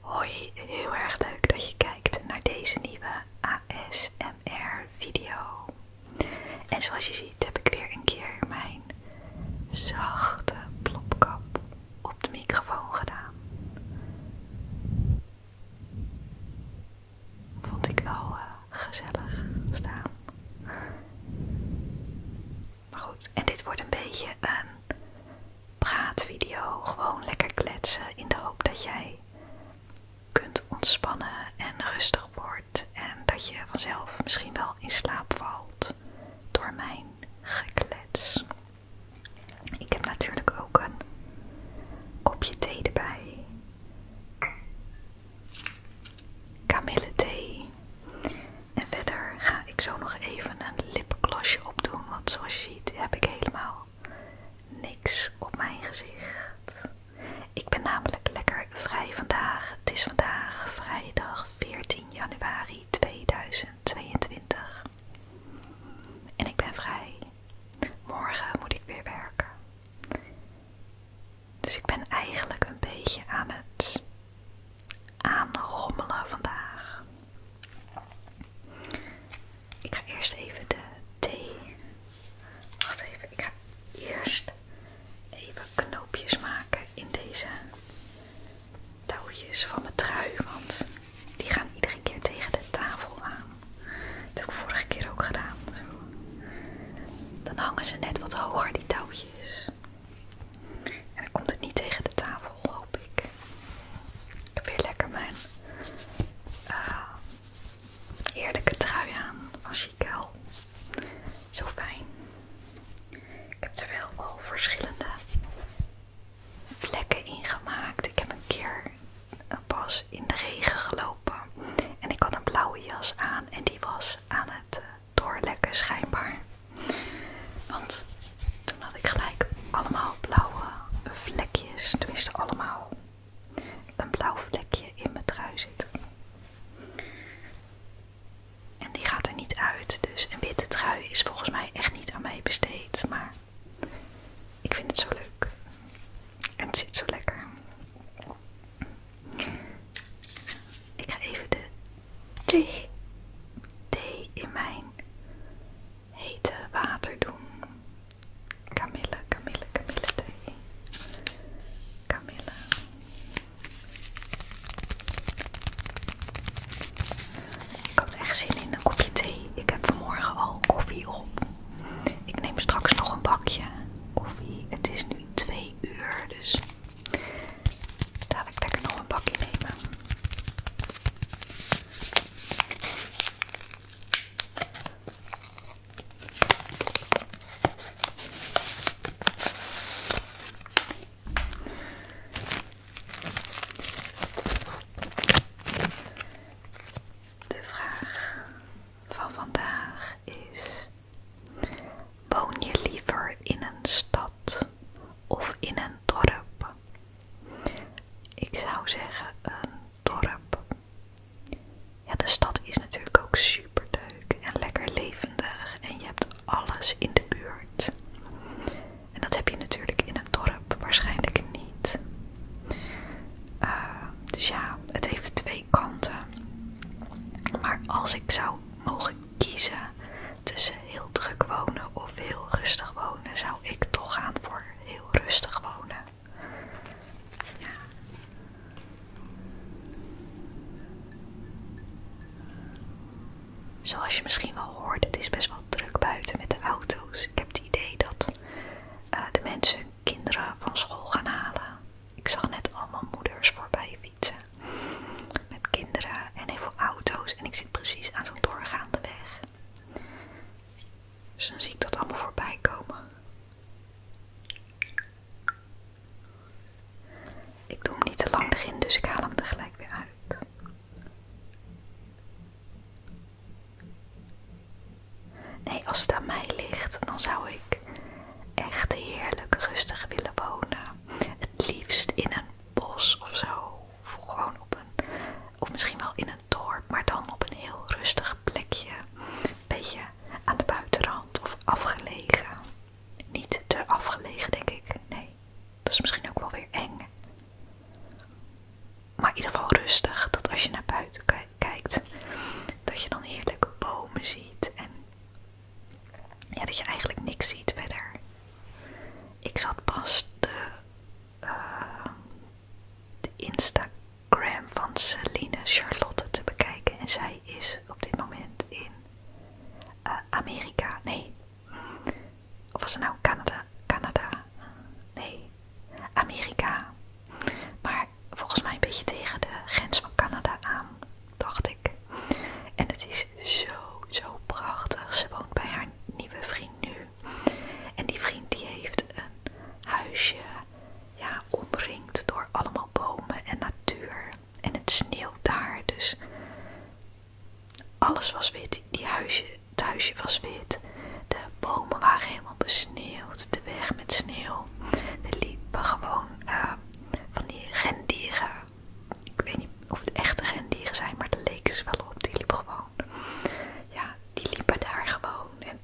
Hoi, heel erg leuk dat je kijkt naar deze nieuwe ASMR video. En zoals je ziet heb ik weer een keer mijn zachte plopkap op de microfoon gedaan. Vond ik wel eh, gezellig staan. Maar goed, en dit wordt een beetje een praatvideo gewoon lekker kletsen in de hoop dat jij kunt ontspannen en rustig wordt en dat je vanzelf misschien wel in slaap valt door mijn geklets. Ik heb natuurlijk ook een kopje thee erbij. Kamille thee. En verder ga ik zo nog even een lipglossje opdoen. Want zoals heb ik helemaal niks op mijn gezicht. Ik ben namelijk lekker vrij vandaag. Het is vandaag vrijdag 14 januari 2022. En ik ben vrij. Morgen moet ik weer werken. Dus ik ben eigenlijk een beetje aan het aanrommelen vandaag. Ik ga eerst even de thee. Wacht even, ik ga eerst even knoopjes maken in deze touwtjes van mijn trui, want die gaan iedere keer tegen de tafel aan. Dat heb ik vorige keer ook gedaan. Dan hangen ze net wat hoger, die touwtjes. En dan komt het niet tegen de tafel, hoop ik. Ik heb weer lekker mijn eh, eerlijke trui aan van Zo fijn. Ik heb er wel al verschillende vlekken in gemaakt. Ik heb een keer pas in de regen gelopen. En ik had een blauwe jas aan en die was aan het eh, doorlekken schijnbaar. Want toen had ik gelijk allemaal blauwe vlekjes, tenminste allemaal een blauw vlekje in mijn trui zit. En die gaat er niet uit, dus een witte trui is volgens mij echt niet aan mij besteed, maar ik vind het zo leuk. En het zit zo lekker. Ik ga even de thee, thee in mijn hete water doen. Camille, Camille, Camille thee. Camille. Ik had echt zin in een kopje thee. Ik heb vanmorgen al koffie op. Ik neem straks nog een bakje koffie. Het is nu twee uur, dus Dadelijk ik nog een bakje nemen. De vraag van vandaag is: Woon je liever in een stad of in een dorp. Ik zou zeggen een dorp. Ja, de stad is natuurlijk ook super leuk en lekker levendig en je hebt alles in de buurt. En dat heb je natuurlijk in een dorp waarschijnlijk niet. Eh, dus ja, het heeft twee kanten. Maar als ik zou mogen kiezen, tussen heel druk wonen of heel rustig wonen, zou ik toch gaan voor heel rustig wonen. Zoals je misschien wel hoort, het is best wel druk buiten met de auto's. Ik heb het idee dat eh, de mensen kinderen van school gaan halen. Ik zag net allemaal moeders voorbij met kinderen en heel veel auto's. En ik zit precies aan zo'n doorgaande weg. Dus dan zie ik dat allemaal voorbij komen. Ik doe hem niet te lang erin, dus ik haal hem er gelijk weer uit. Nee, als het aan mij ligt, dan zou ik echt heerlijk rustig willen wonen. Het liefst in een bos of zo. Of gewoon op een, of misschien wel in een dorp, maar dan op een heel rustig plekje. Een beetje aan de buitenrand of afgelegen. Niet te afgelegen, denk ik. Nee, dat is misschien ook wel weer eng. Maar in ieder geval rustig, dat als je naar buiten kijkt, dat je dan heerlijke bomen ziet en ja, dat je eigenlijk niks ziet verder. Ik zat pas eh, de, Instagram van Celine Charlotte te bekijken en zij is op dit moment in eh, Amerika. Nee, of was het nou Canada? Canada? Nee, Amerika. Maar volgens mij een beetje tegen de grens van Canada aan, dacht ik. En het is zo, zo prachtig. Ze woont bij haar nieuwe vriend nu. En die vriend die heeft een huisje ja, omringd door allemaal bomen en natuur. En het sneeuwt daar, dus alles was wit. Die huisje, het huisje was wit. De bomen waren helemaal besneeuwd. De weg met sneeuw. Er liepen gewoon eh, van die rendieren ik weet niet of het echte rendieren zijn, maar de leek ze wel op. Die liepen gewoon. Ja, die liepen daar gewoon. En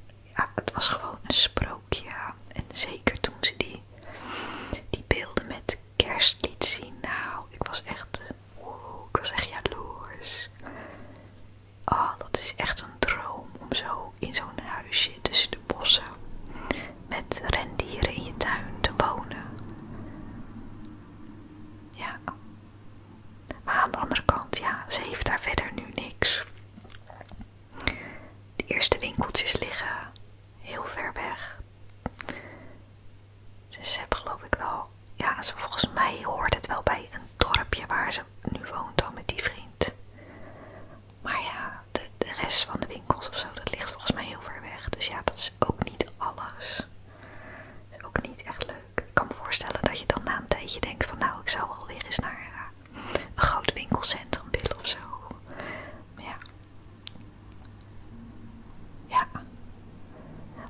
het was gewoon een sprookje. En zeker toen ze die, die beelden met kerst zien. Nou, ik was echt, ik was echt jaloers. Oh, dat is echt een droom om zo in zo'n huisje tussen de bossen met rendieren in je tuin te wonen. Ja. Maar aan de andere kant, ja, ze heeft daar verder nu niks. De eerste winkeltjes liggen heel ver weg. Dus ze hebben geloof ik wel, ja, ze, volgens mij hoort het wel bij een dorpje waar ze nu woont dan met die vriend. Maar ja, de, rest van de winkels of zo, dat ligt volgens mij heel ver weg. Dus ja, dat is ook niet alles. ook niet echt leuk. Ik kan me voorstellen dat je dan na een tijdje denkt van nou, ik zou wel weer eens naar eh, een groot winkelcentrum willen of zo. Ja. Ja.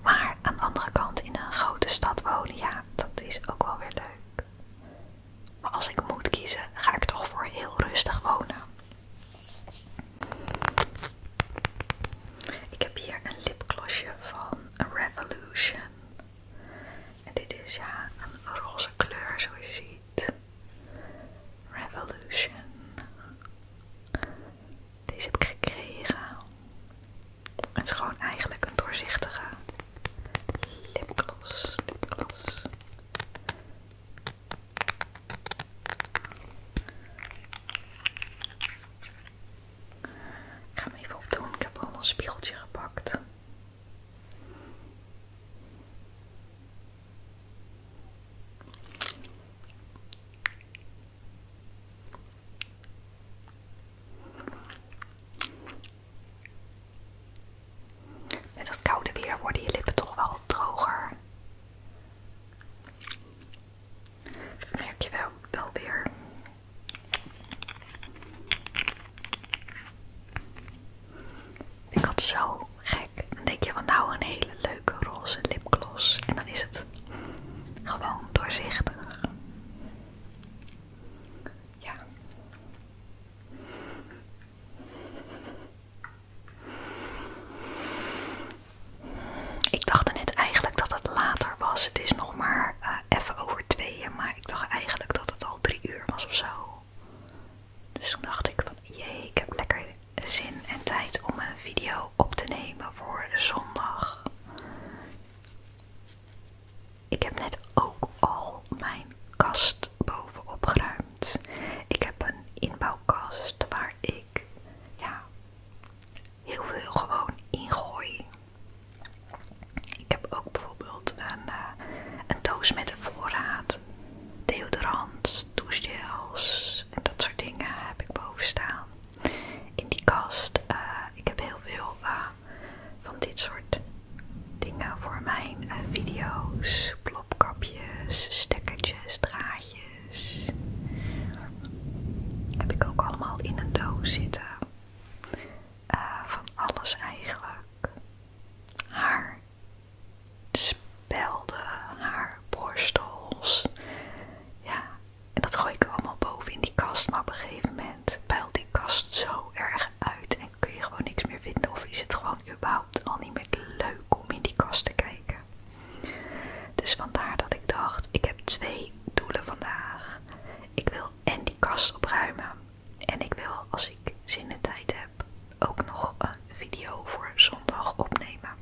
Maar aan de andere kant, in een grote stad wonen, ja, dat is ook wel weer leuk. Maar als ik moet kiezen, ga ik toch voor heel rustig wonen. Ik heb hier een lipglossje van Revolution. En dit is ja een roze kleur zoals je ziet. Revolution. Deze heb ik gekregen. Het is gewoon eigenlijk een doorzichtige lipgloss. lipgloss. Ik ga hem even opdoen. Ik heb al een spiegeltje gepakt. Met dat koude weer worden je lippen toch wel droger. Merk je wel, wel weer. Ik had zo gek. Dan denk je van nou een hele leuke roze lipgloss. En dan is het gewoon doorzichtig. Ja. Ik dacht net eigenlijk dat het later was. Het is nog maar eh, even over tweeën, maar ik dacht eigenlijk dat het al drie uur was of zo. Dus toen dacht ik van jee, ik heb lekker zin en tijd om een video op te nemen voor zondag. Ik heb net ook al mijn kast bovenop geruimd. Ik heb een inbouwkast waar ik ja, heel veel gewoon ingooi. Ik heb ook bijvoorbeeld een, eh, een doos met een voorraad, deodorant, douchegels en dat soort dingen heb ik boven staan. In die kast, eh, ik heb heel veel eh, van dit soort dingen voor mijn video's, plopkapjes, stekkertjes, draadjes. Heb ik ook allemaal in een doos zitten. Eh, van alles eigenlijk. Haar spelden, haar borstels. Ja, en dat gooi ik allemaal boven in die kast. Maar op een gegeven moment puilt die kast zo erg uit kun je gewoon niks meer vinden of is het gewoon überhaupt al niet meer leuk om in die kast te kijken. Dus vandaar dat ik dacht, ik heb twee doelen vandaag. Ik wil en die kast opruimen en ik wil als ik zin en tijd heb ook nog een video voor zondag opnemen.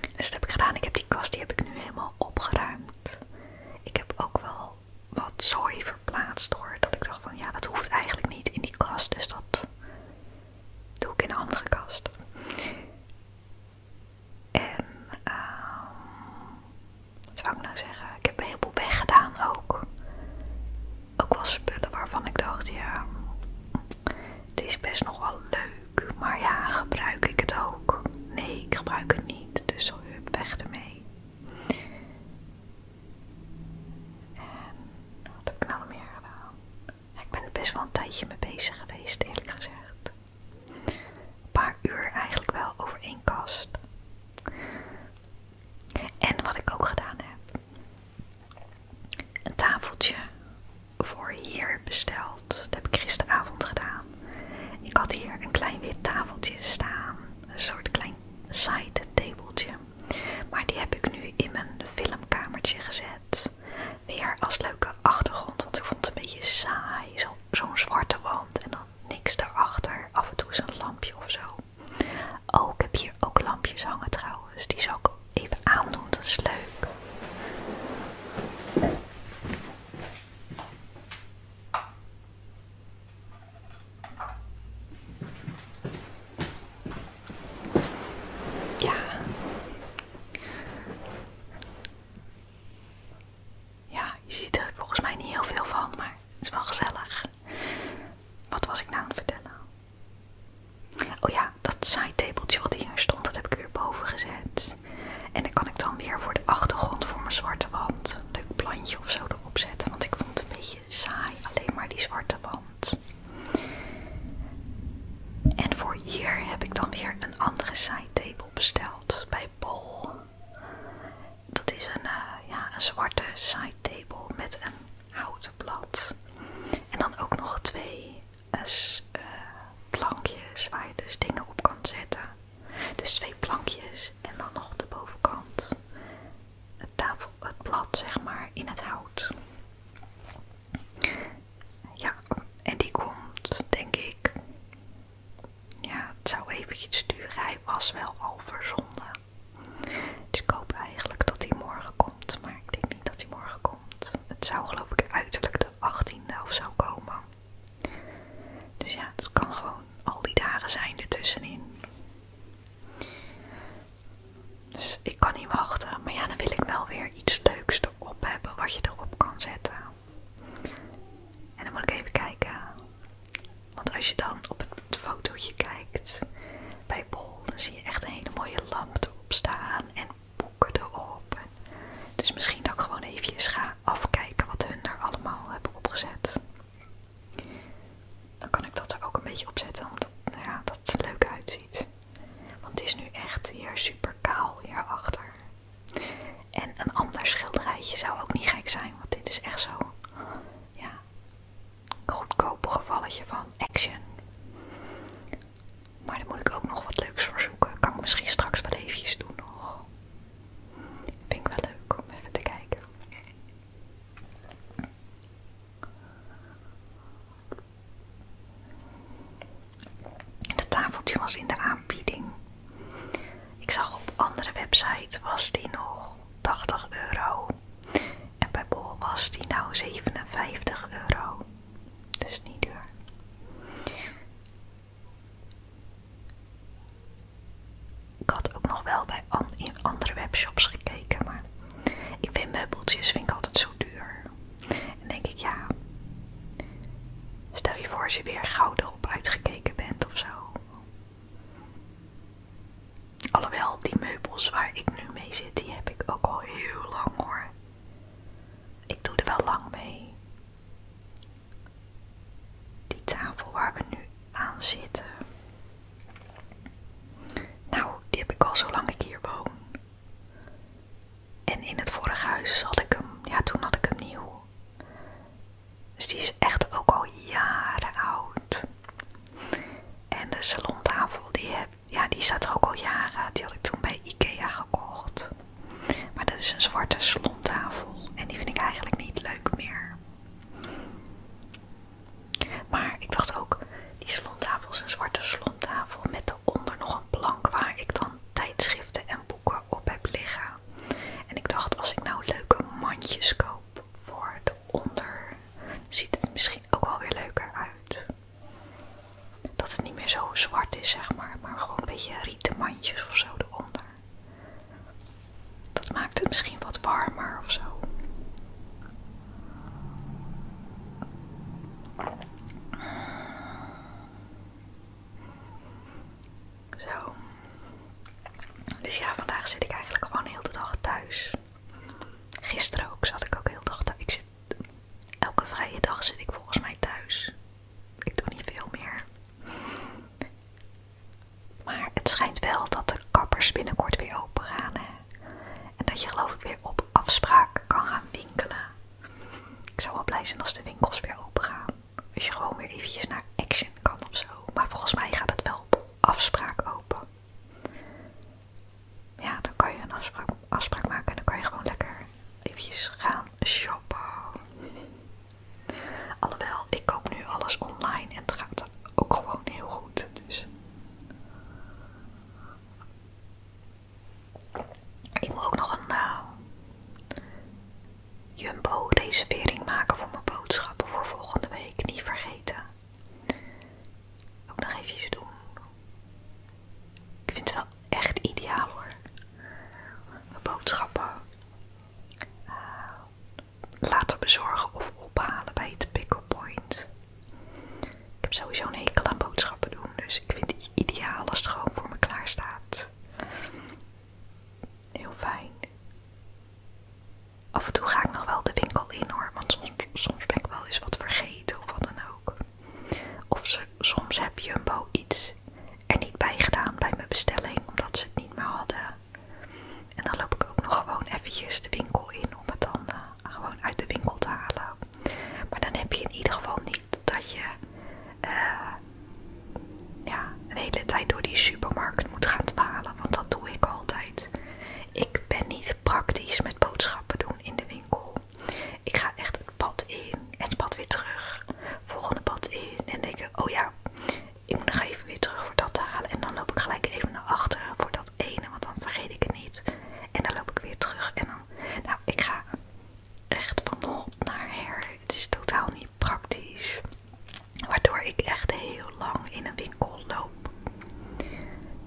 Dus dat heb ik gedaan. Ik heb die kast, die heb ik nu helemaal opgeruimd. Ik heb ook wel wat zooi verplaatst hoor, dat ik dacht van ja, dat hoeft eigenlijk niet in die kast, dus dat doe ik in een andere kast. En ehm, wat zou ik nou zeggen? Ik heb een heleboel weggedaan ook. Ook wel spullen waarvan ik dacht, ja, het is best nog wel leuk, maar ja, gebruik ik het ook? Nee, ik gebruik het niet, dus zo weg ermee. En ehm, wat heb ik nou meer gedaan? Ik ben er best wel een tijdje mee bezig geweest, eerlijk gezegd. Een paar uur eigenlijk wel over één kast. En wat ik ook gedaan heb. Een tafeltje voor hier besteld. Dat heb ik gisteravond gedaan. Ik had hier een klein wit tafeltje staan. Een soort klein side Maar die heb ik nu in mijn filmkamertje gezet. Weer als leuke achtergrond, want ik vond het een beetje saai. Zo'n zwarte wand en dan niks daarachter. Af en toe is een lampje of zo. Oh, ik heb hier ook lampjes hangen trouwens. Die zou ik even aandoen, dat is leuk. Ja. Ja, je ziet er volgens mij niet heel veel van, maar het is wel gezellig. Wat was ik nou aan het vertellen? Oh ja, dat side-tabeltje wat hier stond, dat heb ik weer boven gezet. En dan kan ik dan weer voor de achtergrond voor mijn zwarte wand een leuk plantje of zo erop zetten. Want ik vond het een beetje beetje alleen maar die zwarte wand. En voor hier heb ik dan weer een andere side table besteld bij Paul. Dat is een, eh, ja, een zwarte side table met een houten blad. En dan ook nog twee eh, eh, plankjes waar je dus dingen op kan zetten. Dus twee plankjes en dan nog de bovenkant het, tafel, het blad zeg maar in het hout. Ja, en die komt denk ik. Ja, het zou eventjes duren. Hij was wel al verzonden. Dus ik hoop eigenlijk dat hij morgen komt. Maar ik denk niet dat hij morgen komt. Het zou geloof ik uiterlijk de 18e of zo komen. Dus ja, het kan gewoon al die dagen zijn ertussenin. Dus ik kan niet wachten. Maar ja, dan wil ik wel weer iets leuks erop hebben wat je erop kan zetten. En dan moet ik even kijken. Want als je dan op het fotootje kijkt bij Bol, dan zie je echt een hele mooie lamp erop staan en boeken erop. Dus misschien dat ik gewoon even ga afkijken wat hun daar allemaal hebben opgezet. Dan kan ik dat er ook een beetje op zetten, omdat nou ja, dat het er leuk uitziet. Want het is nu echt hier super kaal hierachter. En een ander schilderijtje zou ook niet gek zijn, want dit is echt zo. Ja, goedkoop gevalletje van action. Maar daar moet ik ook nog wat leuks voor zoeken. Kan ik misschien straks wel eventjes doen nog. Vind ik wel leuk om even te kijken. Dat tafeltje was in de aanbieding. Ik zag op andere website was die nog 80 euro. En bij Bol was die nou 57 euro. Dus niet duur. Ik had ook nog wel bij in andere webshops gekeken, maar ik vind meubeltjes vind ik altijd zo duur. En denk ik, ja, stel je voor als je weer gouden op uitgekeken bent of zo. Alhoewel, die meubels waar ik nu mee zit, die heb ik ook al heel lang hoor. Ik doe er wel lang mee. Die tafel waar we nu aan zitten. Nou, die heb ik al zo lang ik hier woon. En in het vorige huis had ik hem, ja toen had ik hem nieuw. Dus die is echt ook al jaren oud. En de salontafel, die, heb, ja, die staat ook al jaren. Die had ik toen bij Ikea gekocht. Maar dat is een zwarte salontafel en die vind ik eigenlijk niet leuk meer. Maar ik dacht ook, die slontafel is een zwarte slontafel met daaronder nog een plank waar ik dan tijdschriften en boeken op heb liggen. En ik dacht, als ik nou leuke mandjes koop voor de onder, ziet het misschien ook wel weer leuker uit. Dat het niet meer zo zwart is, zeg maar, maar gewoon een beetje rieten mandjes of zo eronder. Dat maakt het misschien wat warmer of zo. Dus ja, vandaag zit ik eigenlijk gewoon heel de dag thuis. Gisteren ook zat ik ook heel de dag thuis. Ik zit, elke vrije dag zit ik volgens mij thuis. Ik doe niet veel meer. Maar het schijnt wel dat de kappers binnenkort weer open gaan. En dat je geloof ik weer op afspraak kan gaan winkelen. Ik zou wel blij zijn als de winkels weer open gaan. Als je gewoon weer eventjes naar Action kan of zo. Maar volgens mij gaat het wel op afspraak open. Ja, dan kan je een afspraak, maken en dan kan je gewoon lekker eventjes gaan shoppen. Alhoewel, ik koop nu alles online en het gaat ook gewoon heel goed. Dus. Ik moet ook nog een eh, Jumbo-reservering maken voor mijn boodschappen voor volgende week. Niet vergeten. Ook nog iets doen. Ik vind het wel echt ideaal hoor. Mijn boodschappen eh, Later bezorgen of ophalen bij het pick-up point. Ik heb sowieso een hekel aan boodschappen doen, dus ik vind het ideaal als het gewoon voor me klaar staat. Heel fijn. Af en toe ga ik nog wel de winkel in hoor, want soms, soms ben ik wel eens wat vergeten of wat dan ook. Of soms heb je een bo iets er niet bij gedaan bij mijn bestelling, omdat ze het niet meer hadden. En dan loop ik ook nog gewoon eventjes de winkel in om het dan eh, gewoon uit de winkel te halen. Maar dan heb je in ieder geval niet dat je eh, ja, een hele tijd door die supermarkt moet gaan dwalen, want dat doe ik altijd. Ik ben niet praktisch met boodschappen doen in de winkel. Ik ga echt het pad in en het pad weer terug. Volgende pad in en denk ik, oh ja, nou, ik moet nog even weer terug voor dat halen. En dan loop ik gelijk even naar achteren voor dat ene, want dan vergeet ik het niet. En dan loop ik weer terug en dan, nou, ik ga echt van de hop naar her. Het is totaal niet praktisch. Waardoor ik echt heel lang in een winkel loop.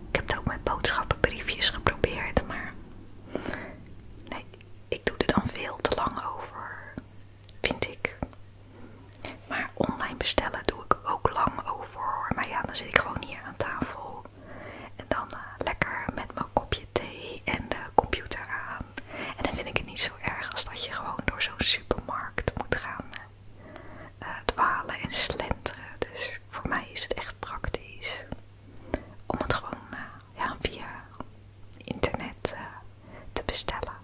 Ik heb het ook mijn boodschappenbriefjes geprobeerd, maar nee, ik doe er dan veel te lang over. Vind ik. Maar online bestellen doe ik ook lang over hoor. Maar ja, dan zit ik gewoon hier aan tafel. En dan eh, lekker met mijn kopje thee en de computer aan. En dan vind ik het niet zo erg als dat je gewoon door zo'n supermarkt moet gaan eh, eh, dwalen en slenteren. Dus voor mij is het echt praktisch om het gewoon via internet eh, te bestellen.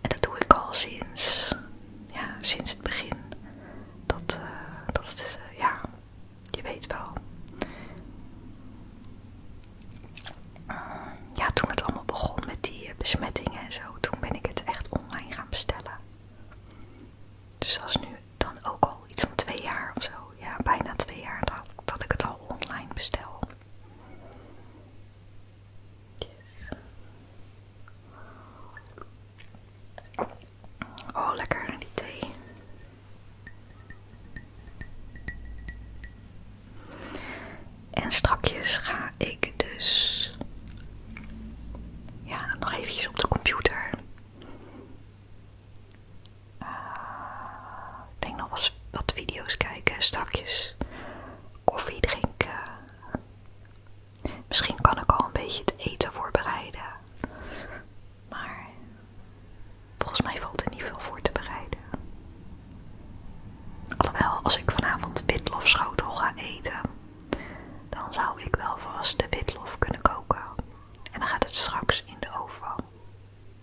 En dat doe ik al sinds, ja, sinds het begin. Dat, eh, dat is, eh, ja, je weet wel. Ja, toen het allemaal begon met die besmettingen en zo, toen ben ik het echt online gaan bestellen. Dus dat is nu dan ook al iets van twee jaar of zo ja, bijna twee jaar dat, ik het al online bestel. Oh, lekker die thee. En strakjes ga ik dus ja, nog eventjes op de computer eh, ik denk nog wel wat video's kijken, stakjes koffie drinken. Misschien kan ik al een beetje het eten voorbereiden. Maar volgens mij valt er niet veel voor te bereiden. Alhoewel, als ik vanavond witlofschotel ga eten, dan zou ik wel vast de witlof kunnen koken. En dan gaat het straks in de oven.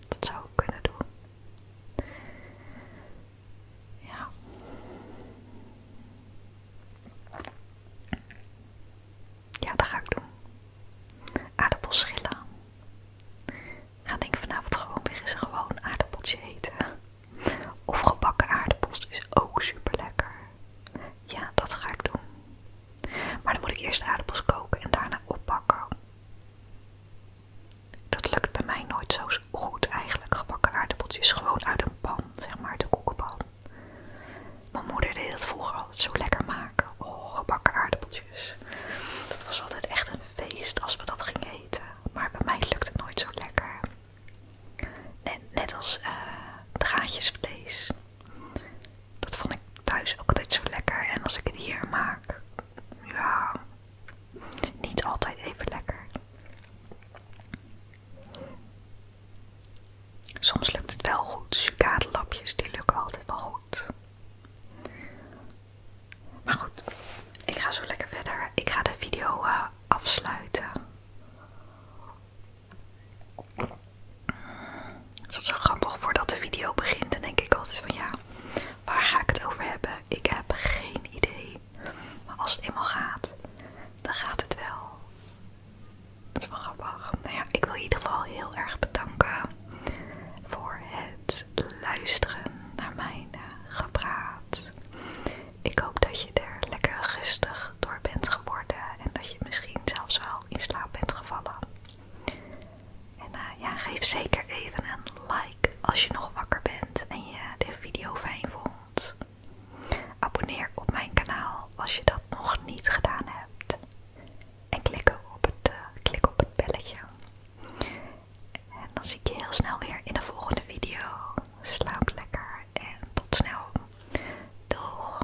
Dat zou ik kunnen doen. Ja. Ja, dat ga ik doen. Aardappels schillen. Ik ga denk vanavond gewoon weer eens gewoon aardappeltje eten. Of gebakken aardappels is ook super lekker. Ja, dat ga ik doen. Maar dan moet ik eerst aardappels koken en daarna oppakken. Dat lukt bij mij nooit zo goed eigenlijk. Gebakken aardappeltjes gewoon uit een pan, zeg maar, de koekenpan. Mijn moeder deed dat vroeger altijd zo lekker maken. Oh, gebakken aardappeltjes. Dat was altijd echt een feest als we dat gingen eten. Maar bij mij lukt het nooit zo lekker. Net, als het eh, draadjesvlees. Dat vond ik thuis ook altijd zo lekker. En als ik het hier maak, ja, niet altijd even lekker. Soms lukt het wel goed. Sucadelapjes, die lukken altijd wel goed. Maar goed, ik ga zo lekker verder. Ik ga de video eh, afsluiten. Het dat is zo grappig. Voordat de video begint, En denk ik altijd van ja, waar ga ik het over hebben? Ik heb geen idee. Maar als het eenmaal gaat, dan gaat het wel. Dat is wel grappig. Nou ja, ik wil in ieder geval heel erg bedanken voor het luisteren naar mijn eh, gepraat. Ik hoop dat je er lekker rustig door bent geworden en dat je misschien zelfs wel in slaap bent gevallen. En eh, ja, geef zeker even een like als je nog wakker bent en je de video fijn vond. Abonneer op mijn kanaal als je dat nog niet gedaan hebt. En klik op het, eh, klik op het belletje. En dan zie ik je heel snel weer in de volgende video. Slaap lekker en tot snel. Doeg!